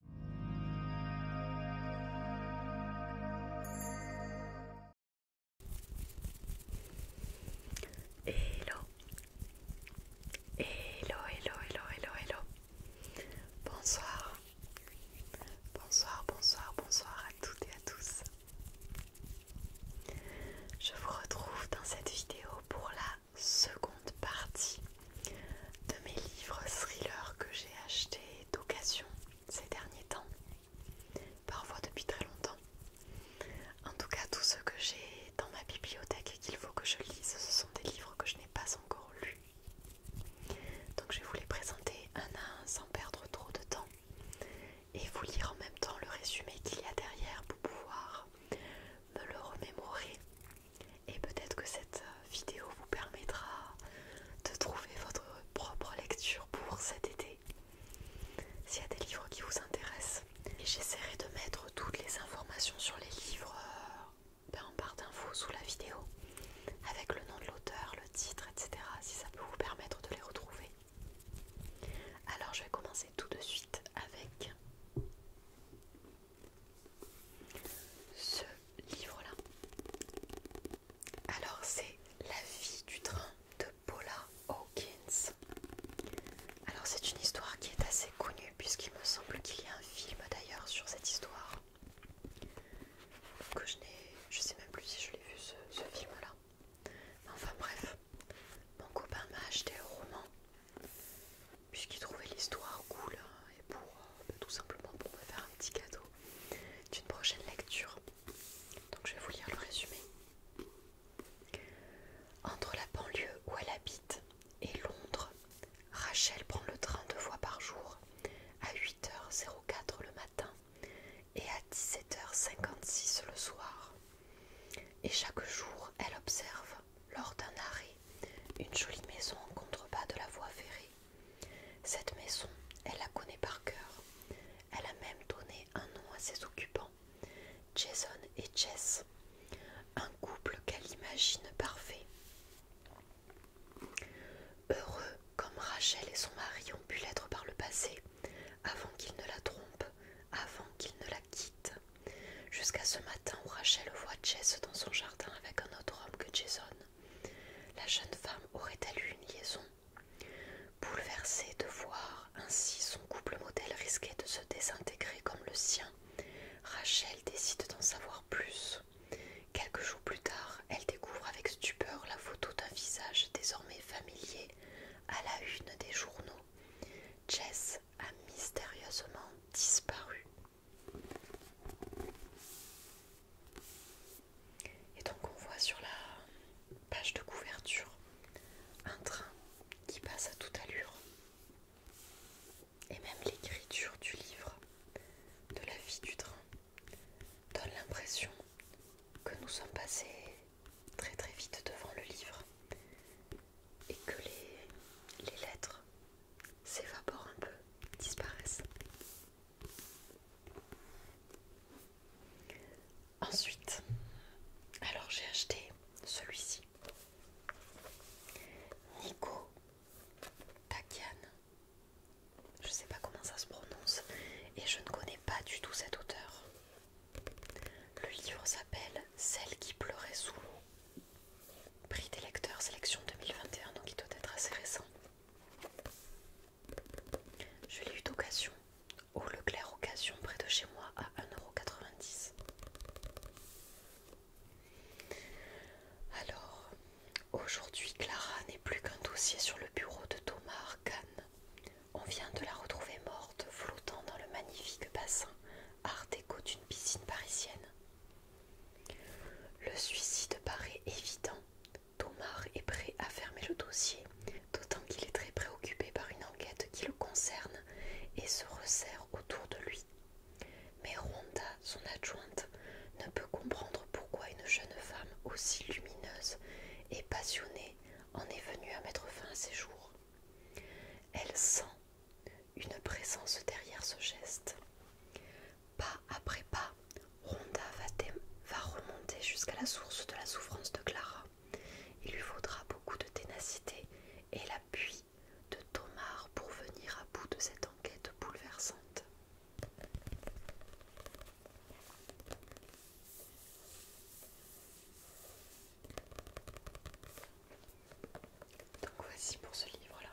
Hello Hello, hello, hello, hello, Bonsoir Bonsoir, bonsoir, bonsoir à toutes et à tous Je vous retrouve dans cette vidéo pour la seconde partie de mes livres thrillers que j'ai achetés d'occasion ces derniers temps, parfois depuis très longtemps. En tout cas, tous ceux que j'ai dans ma bibliothèque et qu'il faut que je lise, ce sont des livres que je n'ai pas encore lus. Donc je vais vous les présenter un à un sans perdre trop de temps et vous lire en même temps le résumé qu'il y a derrière pour pouvoir me le remémorer et peut-être que cette euh, vidéo vous permettra de trouver votre propre lecture pour cet été. S'il y a des livres qui vous intéressent. Et j'essaierai de mettre toutes les informations sur les livres euh, ben, en barre d'infos sous la vidéo. Avec le nom de l'auteur, le titre, etc. Si ça peut vous permettre de les retrouver. Alors je vais commencer tout de suite avec ce livre-là. Alors c'est La vie du train de Paula Hawkins. Alors c'est une histoire qui est assez connue puisqu'il me semble qu'il y a un film d'ailleurs sur cette histoire. Que je n'ai, je sais même plus si je l'ai vu ce, film-là. Enfin bref, mon copain m'a acheté le roman puisqu'il trouvait l'histoire cool hein, et pour euh, bah, tout simplement pour me faire un petit cadeau d'une prochaine lecture. Donc je vais vous lire le résumé. Entre la banlieue où elle habite et Londres, Rachel prend le train deux fois par jour à 8h04 le matin et à 17h56 le soir. Et chaque jour, elle observe, lors d'un arrêt, une jolie maison en contrebas de la voie ferrée cette maison, elle la connaît par cœur. Elle a même donné un nom à ses occupants, Jason et Jess, un couple qu'elle imagine parfait. Heureux comme Rachel et son mari ont pu l'être par le passé, avant qu'il ne la trompe, avant qu'il ne la quitte, jusqu'à ce matin où Rachel voit Jess dans son jardin avec un autre homme que Jason. La jeune femme aurait-elle eu une liaison Bouleversée de voir ainsi son couple modèle risquer de se désintégrer comme le sien, Rachel décide d'en savoir plus. Quelques jours plus tard, elle découvre avec stupeur la photo d'un visage désormais familier à la une des journaux. Jess a mystérieusement disparu. Et donc on voit sur la page de couverture un train qui passe à toute allure. Et même l'écriture du livre de la vie du train donne l'impression que nous sommes passés très très vite devant le livre et que les, lettres s'évaporent un peu, disparaissent. Ensuite, alors j'ai acheté celui-ci. Nico Takian. Je ne sais pas comment ça se prononce et je ne connais pas du tout cet auteur. Le livre s'appelle Celle qui pleurait sous l'eau Prix des lecteurs sélection 2021, donc il doit être assez récent. Je l'ai eu d'occasion, au Leclerc Occasion, près de chez moi, à 1,90€. Alors, aujourd'hui, Clara n'est plus qu'un dossier sur le bureau de Thomas Arcane. On vient de la retrouver morte, flottant dans le magnifique bassin art déco d'une piscine parisienne. Le suicide paraît évident. Tomar est prêt à fermer le dossier, d'autant qu'il est très préoccupé par une enquête qui le concerne et se resserre autour de lui. Mais Rhonda, son adjointe, ne peut comprendre pourquoi une jeune femme aussi lumineuse et passionnée en est venue à mettre fin à ses jours. Elle sent une présence derrière ce geste. Pas après pas, Rhonda va, remonter jusqu'à la source de la souffrance de Clara. Il lui faudra beaucoup de ténacité et l'appui de Tomar pour venir à bout de cette enquête bouleversante. Donc voici pour ce livre-là.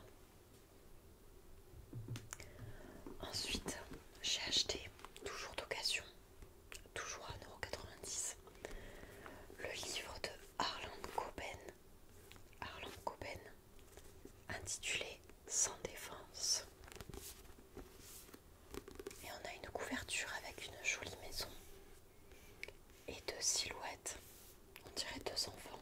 Ensuite, j'ai acheté, toujours d'occasion, toujours à 1,90€, le livre de Harlan Coben, Arland Coben, intitulé Sans défense. Et on a une couverture avec une jolie maison et deux silhouettes, on dirait deux enfants.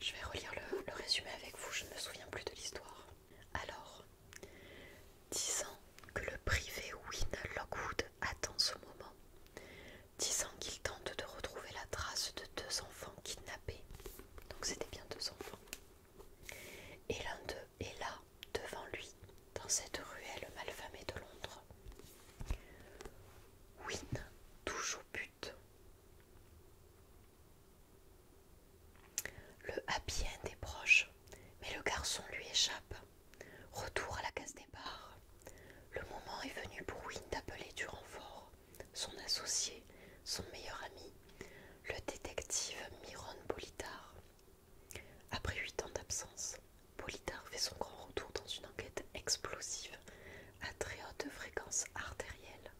Je vais relire le, résumé avec vous, je ne me souviens plus de l'histoire. Alors, disant que le privé Win Lockwood attend ce moment, disant qu'il tente de retrouver la trace de deux enfants kidnappés, donc c'était bien deux enfants, et l'un d'eux est là, devant lui, dans cette ruelle malfamée de Londres. Win, toujours but. Le happy end est proche, mais le garçon lui échappe. Retour à la case départ. Le moment est venu pour Wynne d'appeler du renfort, son associé, son meilleur ami, le détective Miron Bolitar. Après huit ans d'absence, Polydor fait son grand retour dans une enquête explosive à très haute fréquence artérielle.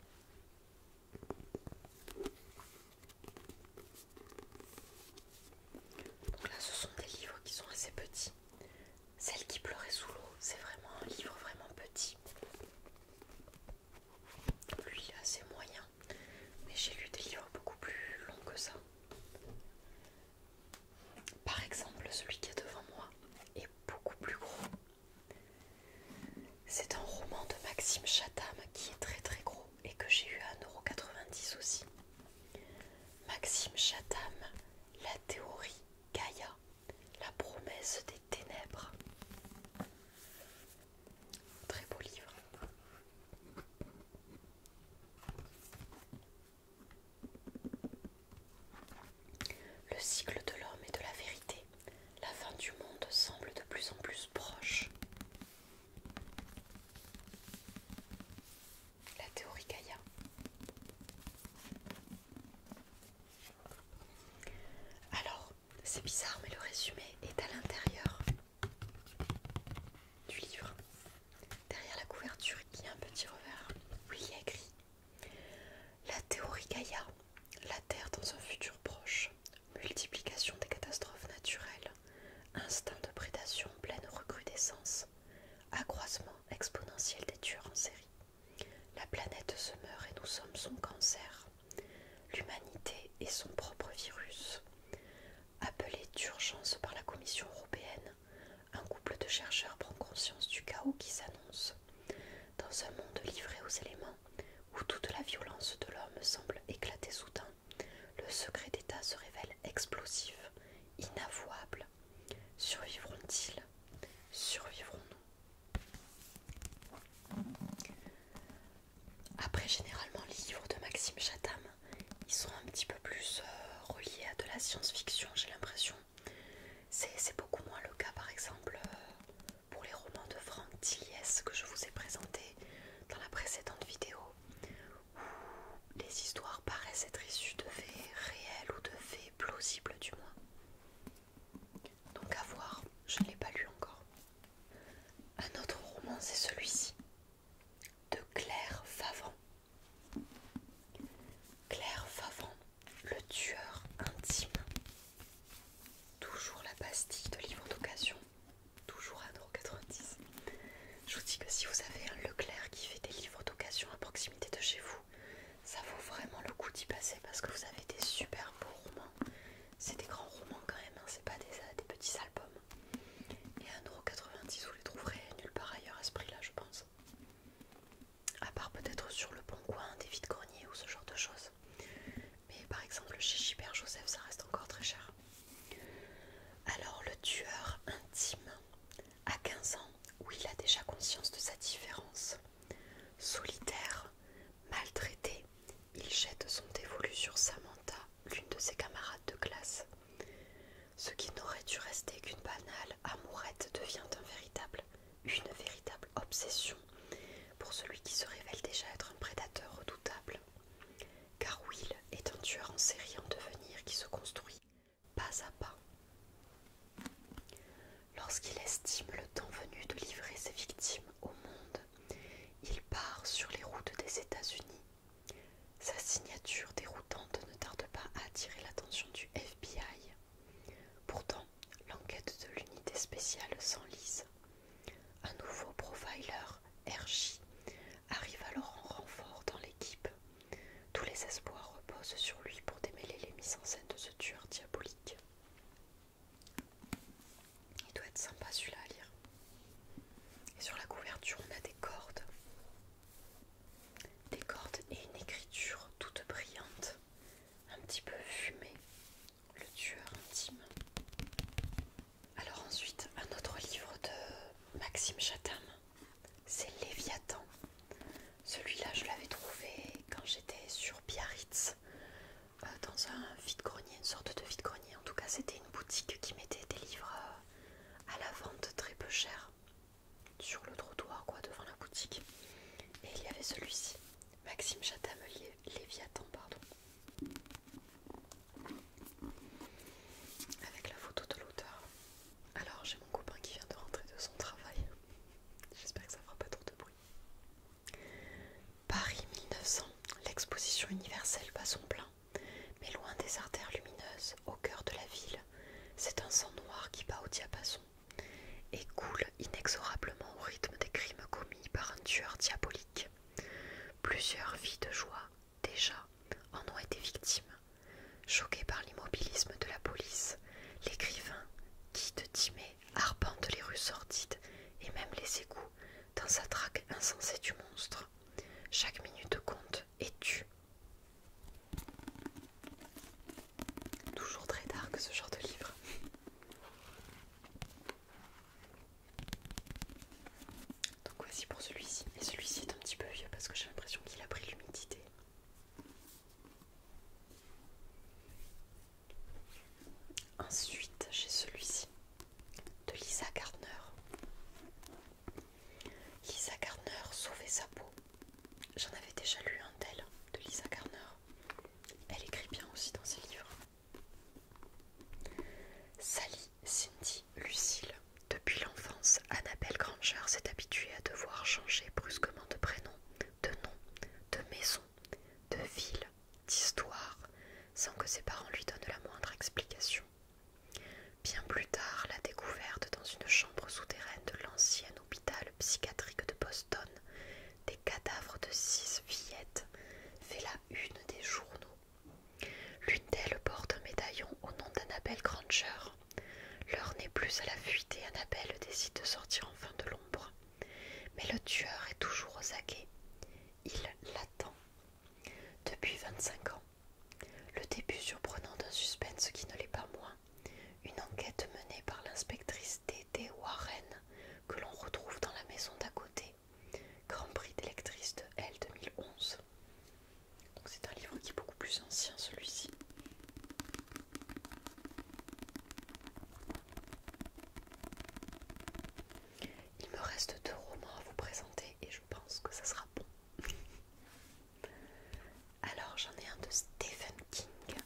Donc là, ce sont des livres qui sont assez petits. Celle qui pleurait sous l'eau, c'est vraiment un livre vraiment petit. Lui, assez moyen. Mais j'ai lu des livres beaucoup plus longs que ça. Par exemple, celui qui est devant moi est beaucoup plus gros. C'est un roman de Maxime Chatham qui est très très gros et que j'ai eu à 1,90€ aussi. Maxime Chatham, La théorie Gaïa, La promesse des ténèbres. Très beau livre. Le cycle de l'homme et de la vérité, la fin du monde semble de plus en plus proche. La théorie Gaïa. Alors, c'est bizarre, mais le résumé est à l'intérieur du livre. Derrière la couverture, il y a un petit revers. Oui, il y a écrit la théorie Gaïa, la Terre dans un futur proche, multiplication des catastrophes naturelles, instinct de prédation pleine recrudescence, accroissement exponentiel des tueurs en série. La planète se meurt et nous sommes son cancer. L'humanité est son propre virus. Appelé d'urgence par la Commission européenne, un couple de chercheurs prend conscience du chaos qui s'annonce. Dans un monde livré aux éléments, où toute la violence de l'homme semble éclater soudain, le secret d'État se révèle explosif, inavouable. Survivront-ils Survivrons-nous Après généralement les livres de Maxime Chatham, ils sont un petit peu plus euh, reliés à de la science-fiction, j'ai l'impression. C'est beaucoup moins le cas par exemple euh, pour les romans de Franck Tillies que je vous ai présentés dans la précédente vidéo où les histoires paraissent être issues de faits réels ou de faits plausibles du moins. Donc à voir, je ne l'ai pas lu encore. Un autre roman c'est celui-ci de Claire Favant. Claire Favon, le tueur intime. Toujours la pastille de livres d'occasion, toujours à Je vous dis que si vous avez un Leclerc qui fait des livres d'occasion à proximité de chez vous, ça vaut vraiment le coup d'y passer parce que vous avez des super beaux romans. C'est des grands romans quand même, hein, c'est pas des, petits albums. Et à 1,90€, vous les trouverez nulle part ailleurs à ce prix-là, je pense à part peut-être sur le bon coin, des vides greniers ou ce genre de choses. Mais par exemple, chez Gilbert Joseph, ça reste encore très cher. Alors, le tueur intime, à 15 ans, où il a déjà conscience de sa différence, solitaire, maltraité, il jette son dévolu sur Samantha, l'une de ses camarades de classe. Ce qui n'aurait dû rester qu'une banale amourette devient un véritable, une véritable obsession pour celui qui se révèle déjà être un prédateur redoutable. Car Will est un tueur en série en devenir qui se construit pas à pas. Lorsqu'il estime le temps venu de livrer ses victimes au monde, il part sur les routes des États-Unis. Sa signature déroutante ne tarde pas à attirer l'attention du FBI. Pourtant, l'enquête de l'unité spéciale s'enlise. Un nouveau profiler, RJ, arrive alors en renfort dans l'équipe. Tous les espoirs reposent sur lui pour démêler les mises en scène de ce tueur diabolique. Il doit être sympa celui-là à lire. Et sur la couverture, on a des cordes des cordes et une écriture toute brillante, un petit peu fumée, le tueur intime. Alors ensuite, un autre livre de Maxime Chatham, c'est Léviathan. Celui-là, je l'avais trouvé quand j'étais sur Biarritz, euh, dans un vide-grenier, une sorte de vide-grenier. En tout cas, c'était une boutique qui mettait des livres euh, à la vente très peu cher sur le trottoir, quoi, devant la boutique. Et il y avait celui-ci, Maxime Chatamelier, Léviathan, pardon. Avec la photo de l'auteur. Alors, j'ai mon copain qui vient de rentrer de son travail. J'espère que ça fera pas trop de bruit. Paris 1900, l'exposition universelle bat son plein, mais loin des artères lumineuses, au cœur de la ville, c'est un sang noir qui bat au diapason et coule inexorablement au rythme des crimes commis par un tueur diabolique. Plusieurs vies de joie, déjà, en ont été victimes. Choquées par l'immobilisme de la police, l'écrivain, qui de Timé arpente les rues sordides et même les égouts dans sa traque insensée du monstre. Chaque minute compte et tue, Toujours très dark ce genre de livre. Donc voici pour celui-ci. Et celui-ci est un petit peu vieux parce que j'ai l'impression qu'il a pris l'humidité. Ensuite, j'ai celui-ci de Lisa Gardner. Lisa Gardner, Sauver sa peau. J'en avais déjà lu un tel de Lisa Garner. Elle écrit bien aussi dans ses livres. Sally, Cindy, Lucille. Depuis l'enfance, Annabelle Granger s'est habituée à devoir changer brusquement de prénom, de nom, de maison, de ville, d'histoire, sans que ses parents lui donnent la moindre explication. Bien plus tard, la découverte dans une chambre souterraine de l'ancien hôpital psychiatrique de Boston, des cadavres de six fillettes fait la une des journaux. L'une d'elles porte un médaillon au nom d'Annabelle Granger. L'heure n'est plus à la fuite et Annabelle décide de sortir enfin de l'ombre. Mais le tueur est toujours aux aguets. Il l'attend. Depuis 25 ans. Le début surprenant d'un suspense qui ne l'est pas moins une enquête menée par l'inspectrice D.D. Warren que l'on retrouve dans la maison d'à côté, Grand Prix d'électrice de L 2011. Donc c'est un livre qui est beaucoup plus ancien celui-ci. Il me reste deux romans à vous présenter et je pense que ça sera bon. Alors j'en ai un de Stephen King.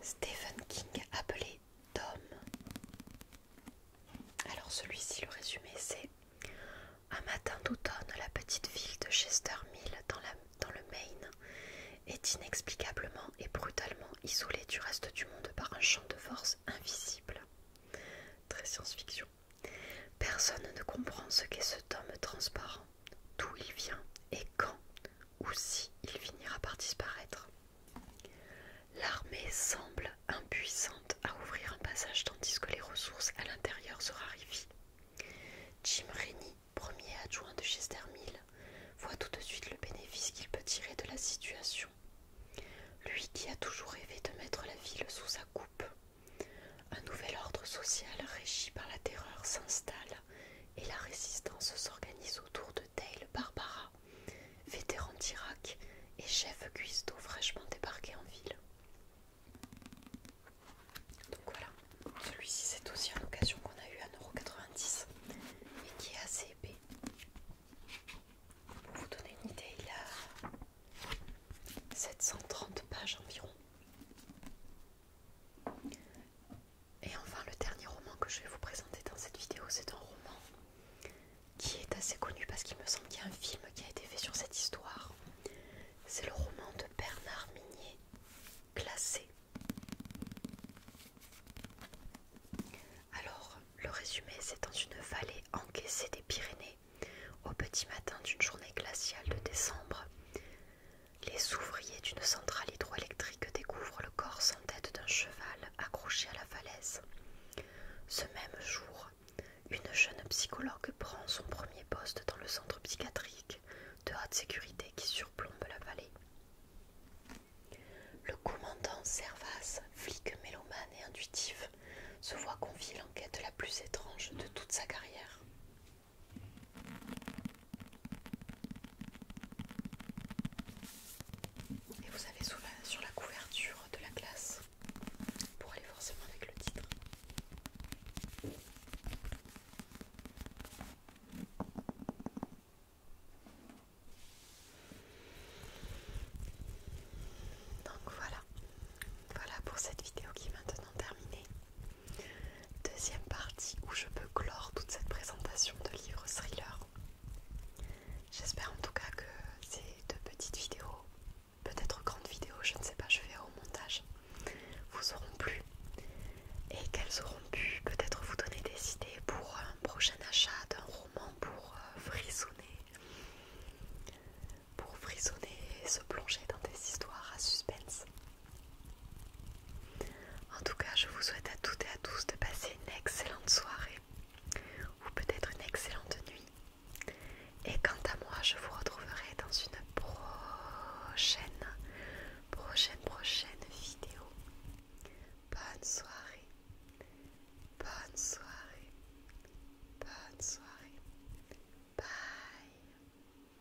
Stephen King appelé Tom. Alors celui-ci, le résumé, c'est un matin d'automne, la petite ville de Chester Mill dans, dans le Maine est inexplicablement et brutalement isolée du reste du monde par un champ de force invisible. Très science-fiction. Personne ne comprend ce qu'est ce tome transparent d'où il vient et quand ou si il finira par disparaître. L'armée semble impuissante à ouvrir un passage tandis que les ressources à l'intérieur se raréfient. Jim Rennie, premier adjoint de Chester Mill, voit tout de suite le bénéfice qu'il peut tirer de la situation. Lui qui a toujours rêvé de mettre la ville sous sa coupe. Un nouvel ordre social régi par la terreur s'installe et la résistance s'organise autour de Dale Barbara, vétéran d'Irak et chef cuistot fraîchement débarqué en ville. Donc voilà, celui-ci c'est aussi une occasion qu'on a eu à 1,90€ et qui est assez épais. Pour vous donner une idée, il a 730 pages environ. Et enfin, le dernier roman que je vais vous présenter dans cette vidéo, c'est un roman qui est assez connu parce qu'il me semble qu'il y a un film qui a été fait sur cette histoire. C'est le roman de Bernard Minier, Glacé. Alors, le résumé, c'est dans une vallée encaissée des Pyrénées, au petit matin d'une journée glaciale de décembre, les ouvriers d'une centrale hydroélectrique découvrent le corps sans tête d'un cheval accroché à la falaise. Ce même jour, une jeune psychologue prend son premier poste dans le centre psychiatrique de haute sécurité qui surplombe la vallée. Le commandant Servas, flic mélomane et intuitif, se voit confier l'enquête la plus étrange de toute sa carrière. Et vous avez sur la couverture de la classe, pour aller forcément avec le titre. Donc voilà, voilà pour cette vidéo qui est maintenant terminée. Deuxième partie où je peux clore toute cette présentation de livres thriller. J'espère en tout cas que ces deux petites vidéos, peut-être grandes vidéos, je ne sais pas, je vais au montage, vous auront plu et qu'elles auront pu peut-être vous donner des idées pour un prochain achat d'un roman pour euh, frissonner, pour frissonner et se plonger dans des histoires à suspense. En tout cas, je vous souhaite à toutes et à tous de passer une excellente soirée ou peut-être une excellente nuit. Et quant à moi, je vous retrouverai dans une prochaine, prochaine, prochaine vidéo. Bonne soirée, bonne soirée, bonne soirée. Bye.